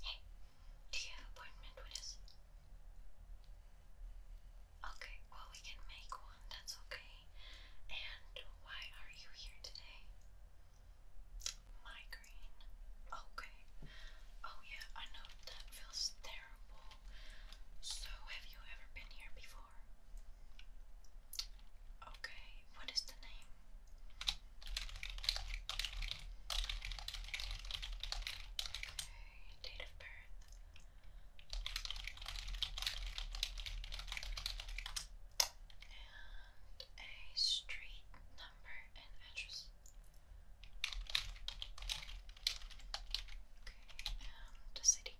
Hey, do you have an appointment with us? Okay, well, we can make one, that's okay. And why are you here today? Migraine. Okay. Oh, yeah, I know that feels terrible. So, have you ever been here before? Okay, what is the name? Okay, date of birth. And a street number and address. Okay, and um, a city.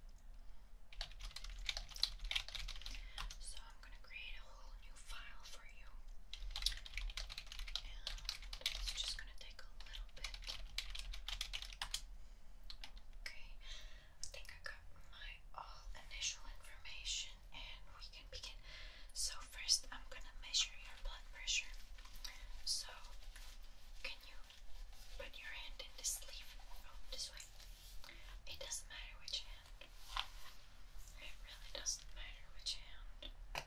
So I'm going to create a whole new file for you. And it's just gonna take a little bit. Okay, I think I got my all initial information and we can begin. So, first, I'm gonna measure your blood pressure. So, can you put your hand in the sleeve? Oh, this way. It doesn't matter which hand. It really doesn't matter which hand.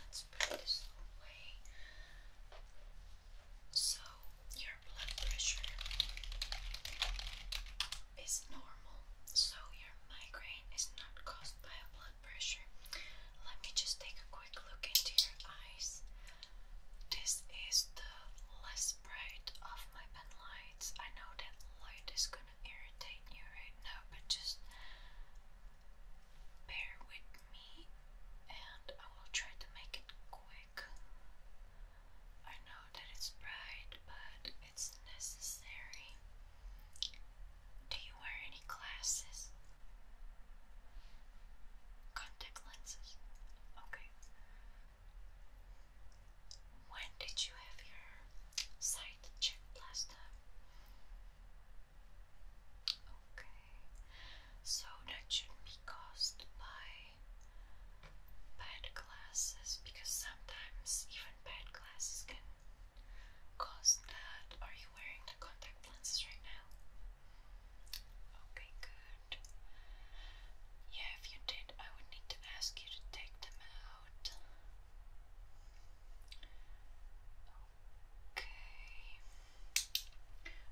let's put this away. So, your blood pressure is normal, so your migraine is not caused by a blood pressure. Let me just take a quick look into your eyes. This is the less bright of my pen lights. I know that light is gonna irritate you right now, but just bear with me and I will try to make it quick. I know that it's bright, but it's necessary. Do you wear any glasses? Contact lenses? Okay. When did you have your sight checked last time? Okay, so that shouldn't be caused by bad glasses because sometimes even bad glasses can cause that. Are you wearing the contact lenses right now? Okay, good. Yeah, if you did, I would need to ask you to take them out. Okay.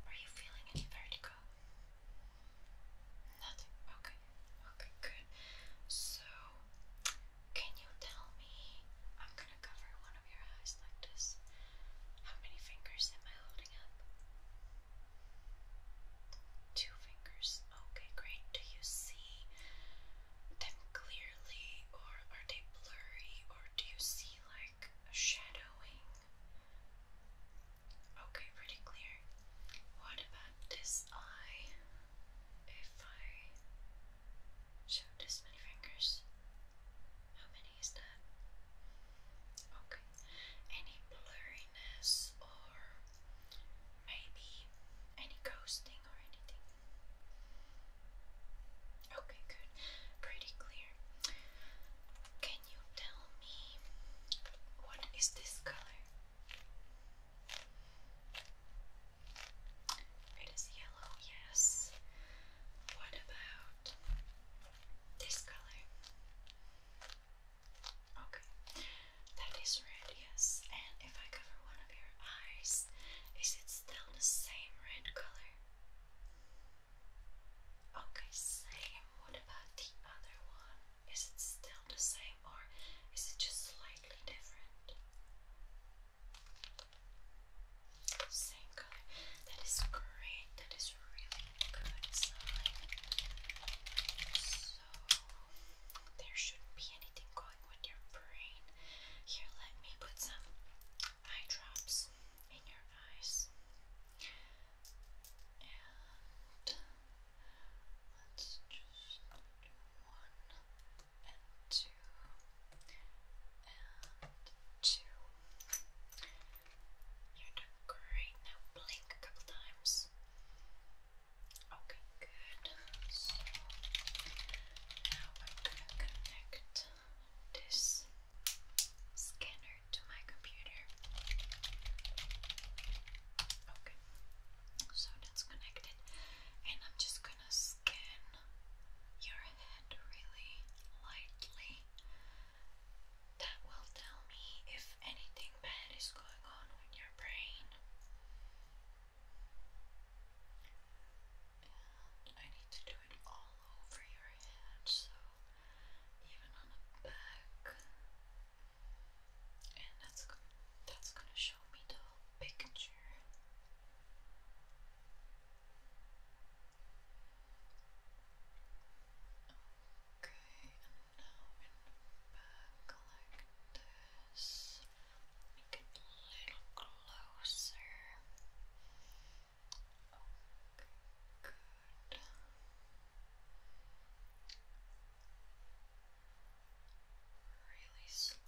Are you feeling any vertigo? Nothing. Okay. Okay, good. So, can you tell me? I'm gonna cover one of your eyes like this. How many fingers am I holding up? Two fingers. Okay, great. Do you see them clearly, or are they blurry, or do you see like a shadowing? Okay, pretty clear. What about this eye? If I show this many fingers, how many is that? Okay, any blurriness or maybe any ghosting or anything? Okay, good. Pretty clear. Can you tell me what is this color? It is yellow, yes. What about this color? Okay, that is red, yes. And if I cover one of your eyes, is it still the same red color? Okay, same. What about the other one? Is it still the same or is it just slightly different? Same color. That is great. That is really good So there shouldn't be anything going with your brain. Here, let me put some eye drops in your eyes. And let's just one and two and two. You're doing great. Now blink a couple times. Okay, good. So now I'm gonna connect this scanner to my computer. Okay, so that's connected, and I'm just gonna scan your head really lightly. That will tell me if anything bad is going on with your brain. And I need to do it all over your head, so even on the back. And that's that's gonna show me the picture. Okay, and now in the back like this little closer. Okay, good. Really slow.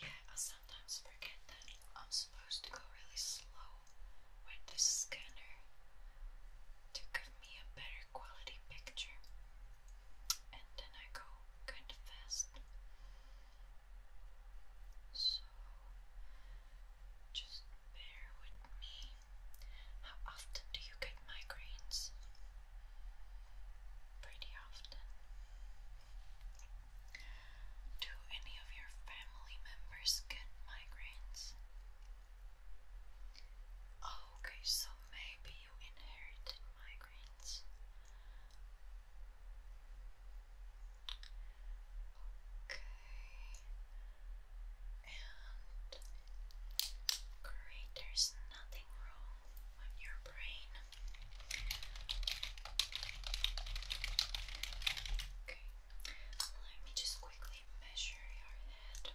Yeah, I sometimes forget that I'm supposed to go really slow with the scanner to give me a better quality picture, and then I go kind of fast. So just bear with me. How often do you get migraines? Pretty often. Do any of your family members get migraines? okay, so maybe you inherited migraines brains. Okay. And great, there's nothing wrong with your brain. Okay. Let me just quickly measure your head.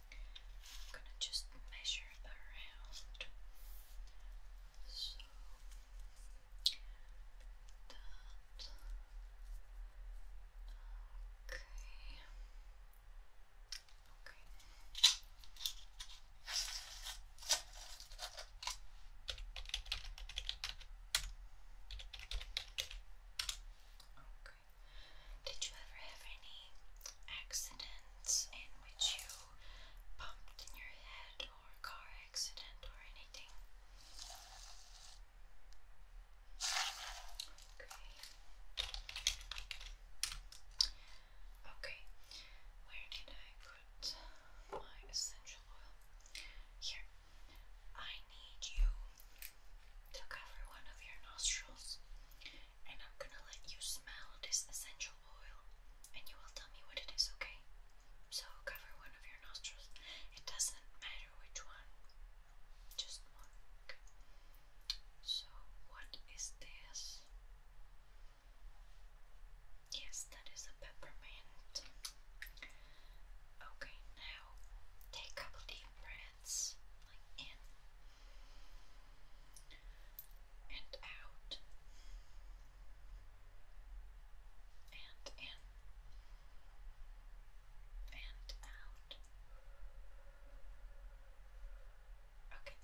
I'm gonna just measure around. So that okay. Okay. Okay. Did you ever have any accidents in which you bumped in your head or car accident or anything? Okay. Okay. Where did I put my essential oil? Here. I need you to cover one of your nostrils and I'm gonna let you smell this essential oil and you will tell me what it is, okay? So cover one of your nostrils. It doesn't matter which one, just one. So, what is this? Yes, that is a peppermint. Okay, now take a couple deep breaths, like in and out and in and out. Okay,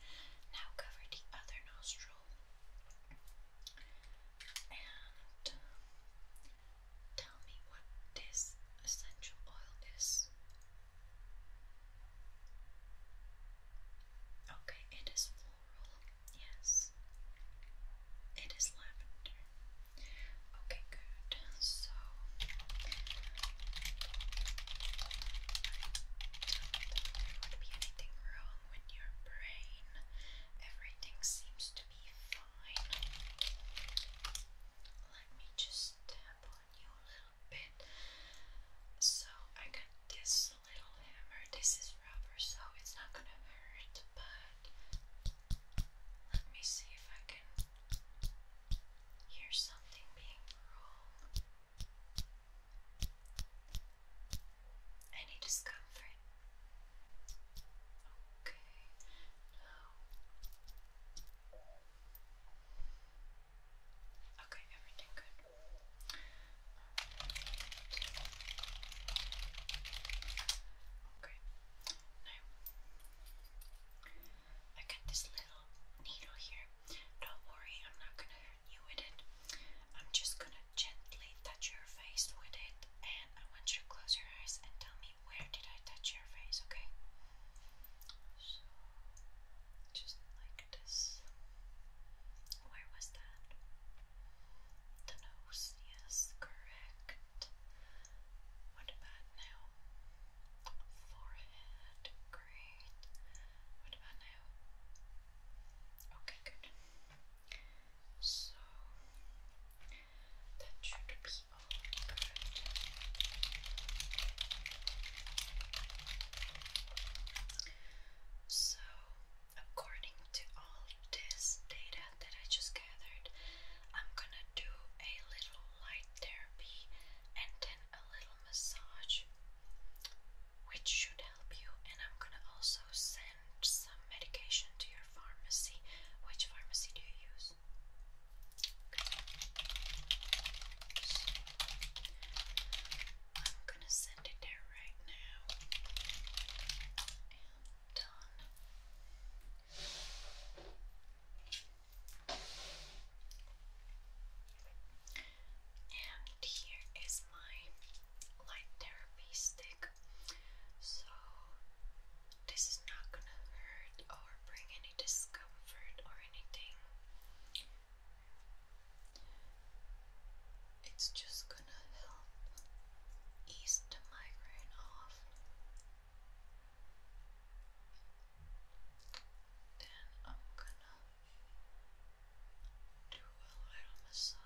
now cover the other nostril and um, tell me what this essential oil is. Okay, it is floral. Yes. It is lavender. Okay, good. So there would be anything wrong with your brain. Everything seems to be fine. Let me just tap a little bit. So I got this little hammer. This is rubber, so it's not gonna hurt, but let me see if I can hear something being rolled. Any discomfort? Okay, now Okay, everything good. Okay. Now I got this little needle here. Don't worry, I'm not gonna hurt you with it. I'm just gonna gently touch your face with it and I want you to close your eyes and tell me where did I touch your face, okay? just like this. Where was that? The correct. What about now? Forehead, great. What about now? Okay, good. So that should be all so, according to all this data that I just gathered, I'm gonna do a little light therapy and then a little massage, which should help you. And I'm gonna also send some medication to your pharmacy. Which pharmacy do you use? I'm going to send it there right now. And done. And here is my light therapy stick. So this is not gonna hurt or bring any discomfort or anything. It's just gonna help ease the migraine off. Then I'm gonna do a little massage.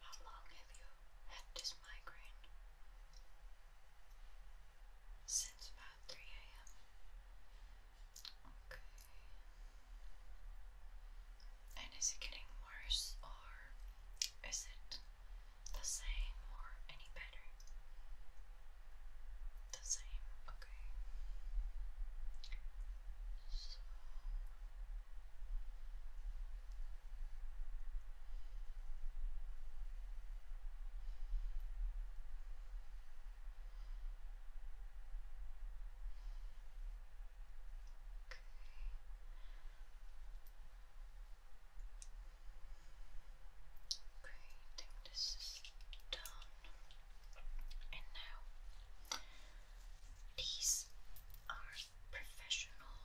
How long have you had this migraine? Since about 3 a.m. Okay. And is it getting worse or is it the same or any better? The same, okay. So Great, I this is done. And now, these are professional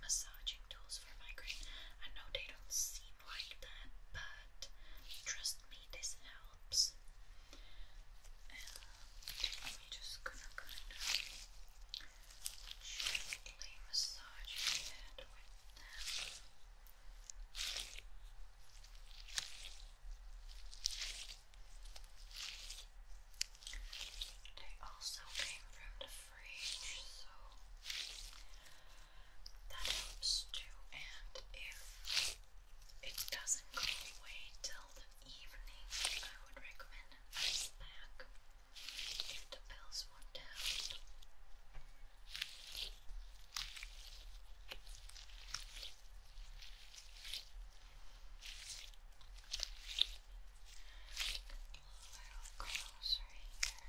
massaging tools for migraine. I know they don't seem like that, but trust me, this helps. I'm just gonna kind of gently massage your They also came from the fridge, so that helps too. And if it doesn't go away till the evening, I would recommend back if the bells went down. A little closer here. Okay.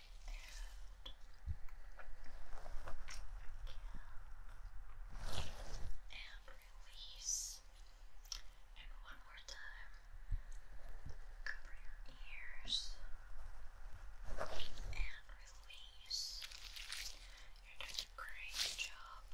and release. And one more time, cover your ears and release. You're doing a great job.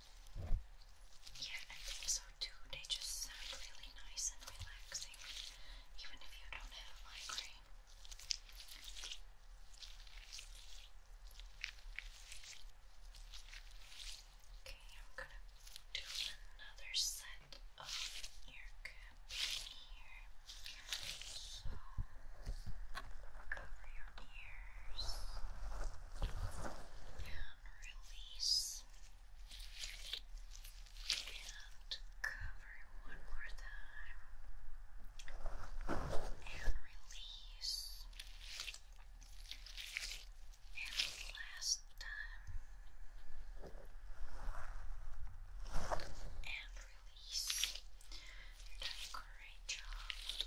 Yeah, I think so too. They just sound really nice and relaxing, even if you don't have migraine. Okay, I'm gonna do another set of ear caps here. So cover your ears release and cover one more time and release and last time and release. You're doing a great job.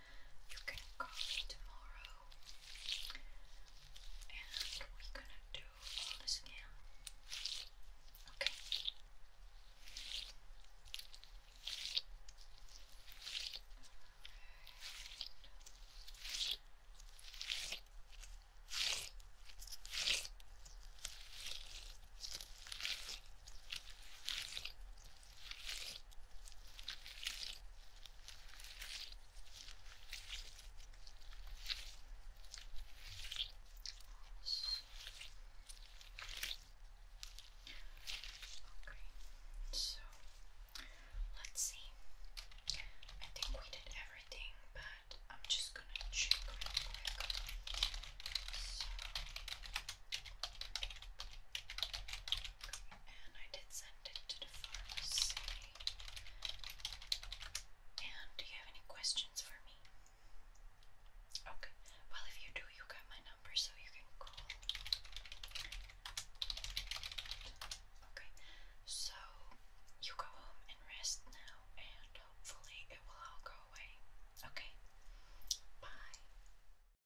You can call me tomorrow and we're gonna do all this again. Okay. Okay, so let's see. I think we did everything, but I'm just gonna check and I did send it to the pharmacy. And do you have any questions for me? Okay. Well, if you do, you got my number, so you can call. Okay. So you go home and rest now, and hopefully it will all go away. Okay. Bye.